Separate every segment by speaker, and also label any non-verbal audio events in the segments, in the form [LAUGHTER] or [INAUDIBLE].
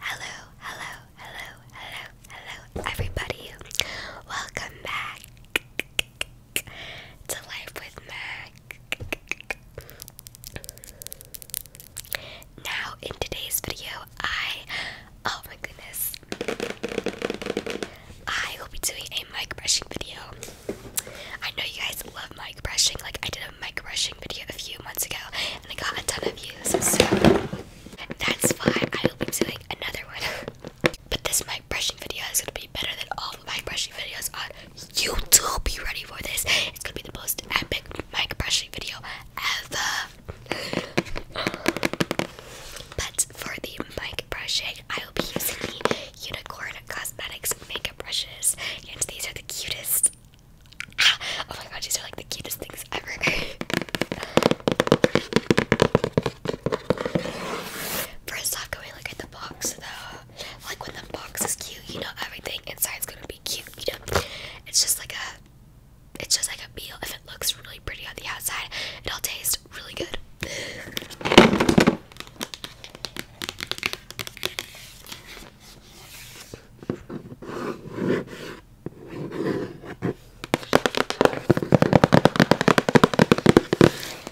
Speaker 1: Hello, hello, hello, hello, hello, everybody. Welcome back to Life with Mac. Now, in today's video, I, oh my goodness, I will be doing a mic brushing video. I know you guys love my brushing. Like I did a mic brushing video a few months ago and I got a ton of views. So that's why I will be doing another one. [LAUGHS] but this mic brushing video is gonna be better than all the mic brushing videos on YouTube. Be ready for this. It's gonna be the most epic mic brushing video ever. [SIGHS] But for the mic brushing, I will be using the Unicorn Cosmetics makeup brushes, and these are the cutest [LAUGHS] Oh my gosh, these are like the cutest things ever. First off, can look at the box though? Like when the box is cute, you know everything inside's gonna be cute, you know? It's just like a it's just like a meal. If it looks really pretty on the outside, it'll taste really good. [LAUGHS]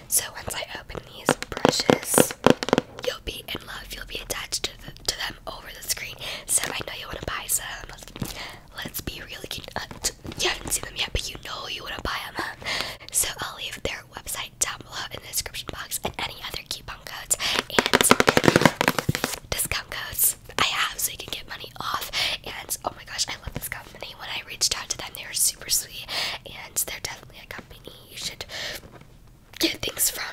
Speaker 1: So once I open these brushes, you'll be in love. You'll be attached to, them over the screen. So I know you want to buy some. Let's, be real. Like uh, you, haven't seen them yet, but you know you want to buy them. So I'll leave their website down below in the description box and any other coupon codes and [LAUGHS] discount codes I have so you can get money off. And oh my gosh, I love this company. When I reached out to them, they were super sweet, and they're definitely a company you should get things from.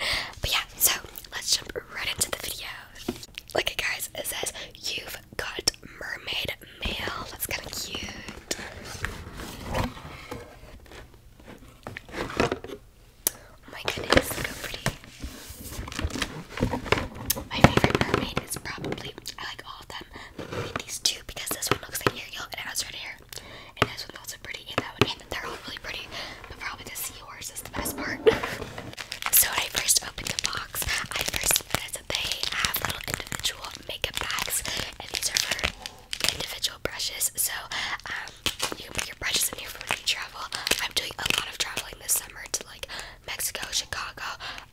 Speaker 1: [LAUGHS] but yeah, so let's jump right into the video. Look at guys, it says you've got mermaid mail. That's kind of cute. Oh my goodness, look pretty. My favorite mermaid is probably, I like all of them, but these two because this one looks like Ariel and it has red hair. And this one's also pretty, and that one, and they're all really pretty, but probably the seahorse is the best part. so when I first opened the box, I first realized that they have little individual makeup bags, and these are for individual brushes. So um, you can put your brushes in here for when you travel. I'm doing a lot of traveling this summer to like Mexico, Chicago,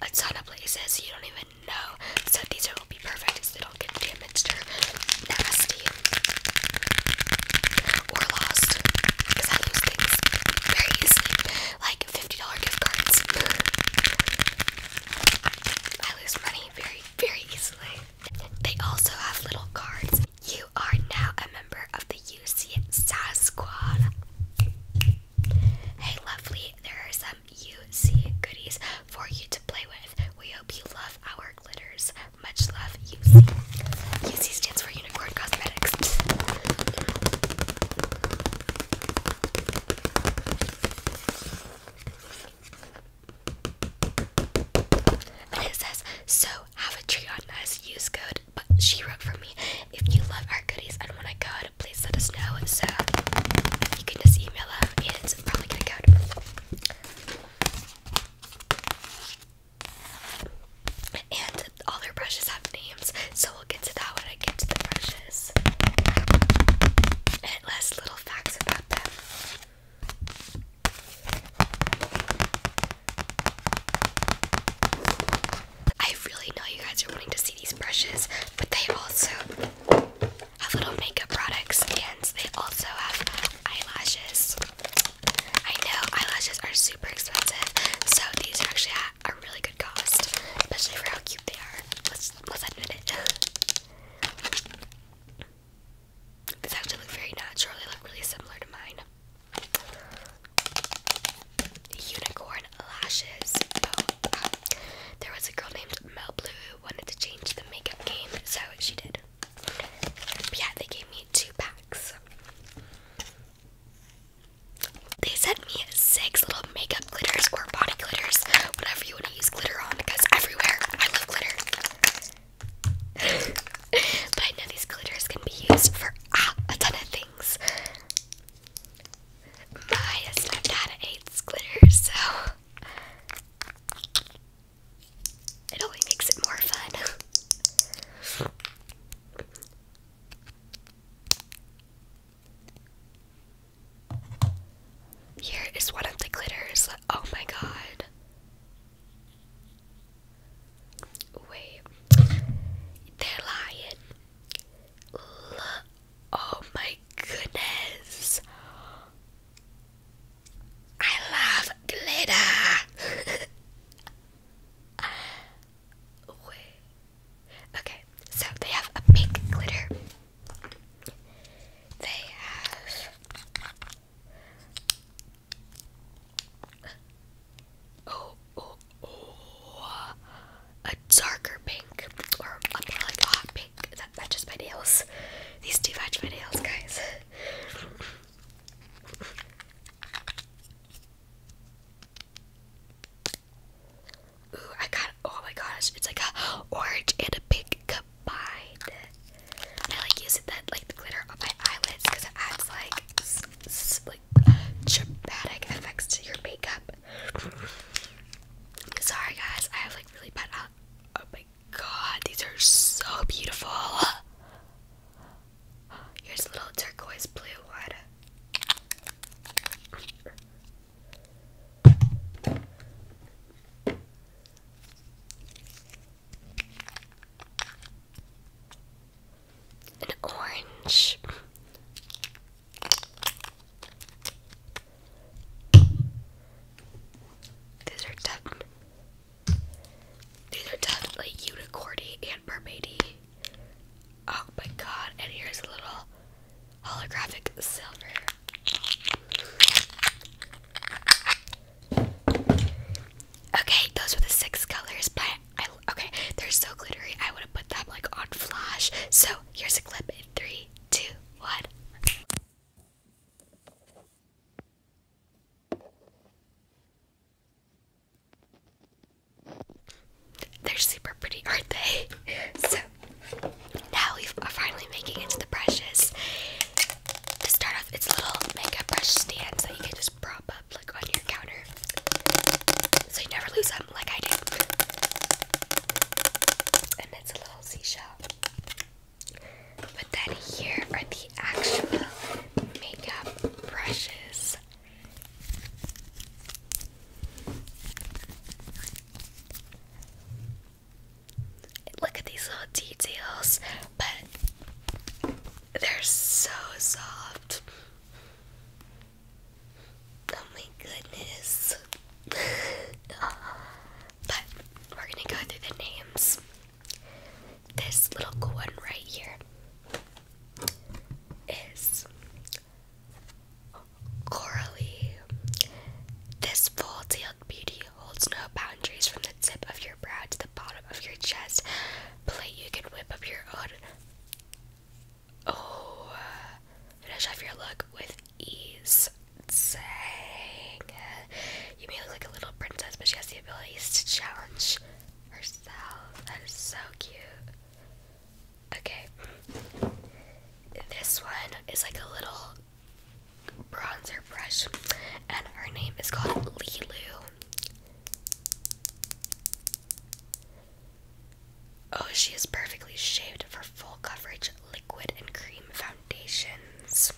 Speaker 1: a ton of places you don't even know. So these are will be perfect because they don't get damaged or or lost. Because I lose things very easily, like fifty dollar gift cards. I lose money very, very easily. They also have little cards. You you are now a member of the UC SAS Squad. Hey, lovely, there are some UC goodies for you to play with. We hope you love our glitters. Much love, UC. UC stands for Unicorn Cosmetics. And it says, so have a treat on us, use code, but she wrote for me, if you love our goodies and want a code, please let us know, so you can just email them, and it's probably gonna code. And all their brushes have names, so we'll get to that when I get to the brushes. And last little facts about them. I really know you guys are wanting to see these brushes, but they also have little makeup products and they also have eyelashes. I know eyelashes are super expensive, so these are actually at a really good cost, especially for how cute they are. Let's let's admit it. [LAUGHS] These actually look very natural. They look really similar to mine. Unicorn lashes. Oh, there was a girl named Mel Blue who wanted to change the makeup game, so she did. yeah, they gave me two packs. They sent me six little makeup glitters or body glitters, whatever you want to use glitter on, because everywhere I love glitter. [LAUGHS] but I know these glitters can be used for ah, a ton of things. My stepdad hates glitter, so it only makes it more fun. Here is one of the glitters. Oh my god. Wait, they're lying. L oh my goodness. I love glitter. [LAUGHS] Okay, so they have a pink glitter. They have Oh, oh, oh, a darker pink, or a like a hot pink that matches my nails. These do match my nails, guys. Ooh, I got. Oh my gosh, it's like a orange and a pink combined. I like using that like the glitter on my eyelids because it adds like like dramatic effects to your makeup. Sorry guys, I have like really bad out. Oh my god, these are so beautiful. Here's a little turquoise blue one an orange. These are definitely unicorny and mermaidy. Oh my god, and here's a little holographic silver. Okay, those were the six colors, but I okay, they're so glittery. I would have put them like on flash. So here's a clip in three, two, one. They're super pretty, aren't they? So now we are finally making it to the brushes. To start off, it's little makeup brush stands that you can just prop up like on your counter so you never lose them like I do. And it's a little seashell. But then here are the actual makeup brushes. Look at these little details, but they're so soft. Oh my goodness. [LAUGHS] but we're gonna go through the names. This little cool one right here is Coralie. This full-tailed beauty holds no boundaries from the tip of your brow to the bottom of your chest. Play, you can whip up your own. Oh, finish off your look with ease. Dang. You may look like a little princess, but she has the abilities to challenge herself. That is so cute. Okay. This one is like a little bronzer brush, and her name is called Lilu. Oh, she is perfectly shaped for full coverage liquid and cream foundations.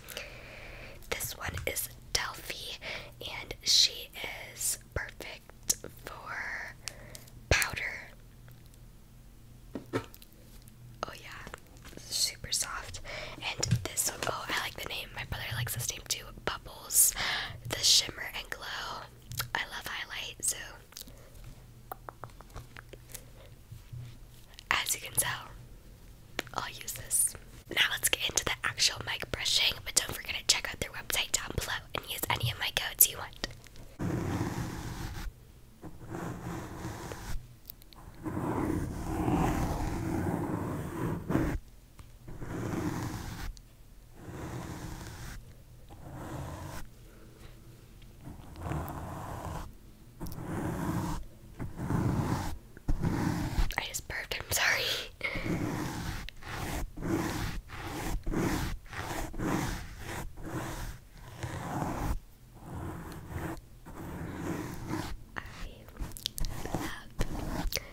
Speaker 1: This one is Delphi, and she is perfect for powder. Oh, yeah, super soft. And this one, oh, I like the name. My brother likes this to Bubbles, the Shimmer and Glow. I love highlight, so as you can tell, I'll use this. Now let's get into the actual mic brushing, but don't forget to check out their website down below and use any of my codes you want. I just burped, I'm sorry. I love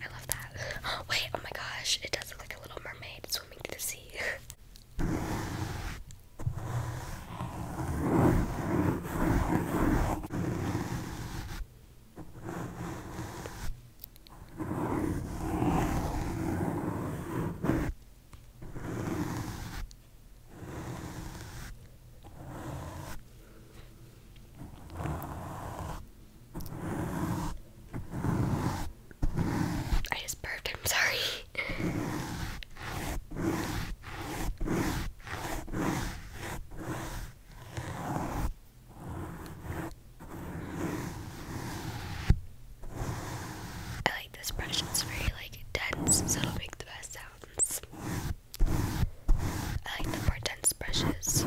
Speaker 1: I love that. Oh, [GASPS] wait, oh my gosh, it does look like a little mermaid swimming to the sea. I just burped, I'm sorry. I like this brush, it's very like dense, so it'll make the best sounds. I like the more dense brushes.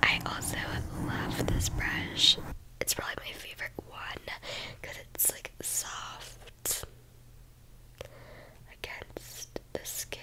Speaker 1: I also love this brush it's probably my favorite one because it's like soft against the skin.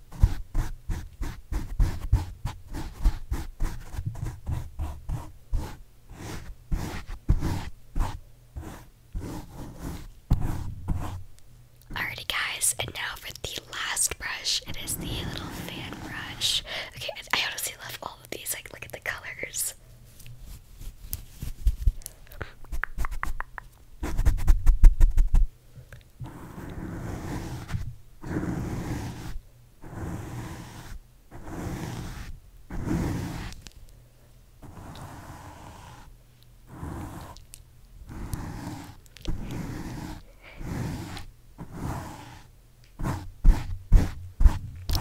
Speaker 1: Alrighty, guys, and now for the last brush. It is the little fan brush. Okay, I honestly love all of these. Like, look at the colors.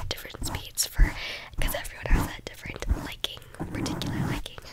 Speaker 1: Different speeds for because everyone has a different liking, particular liking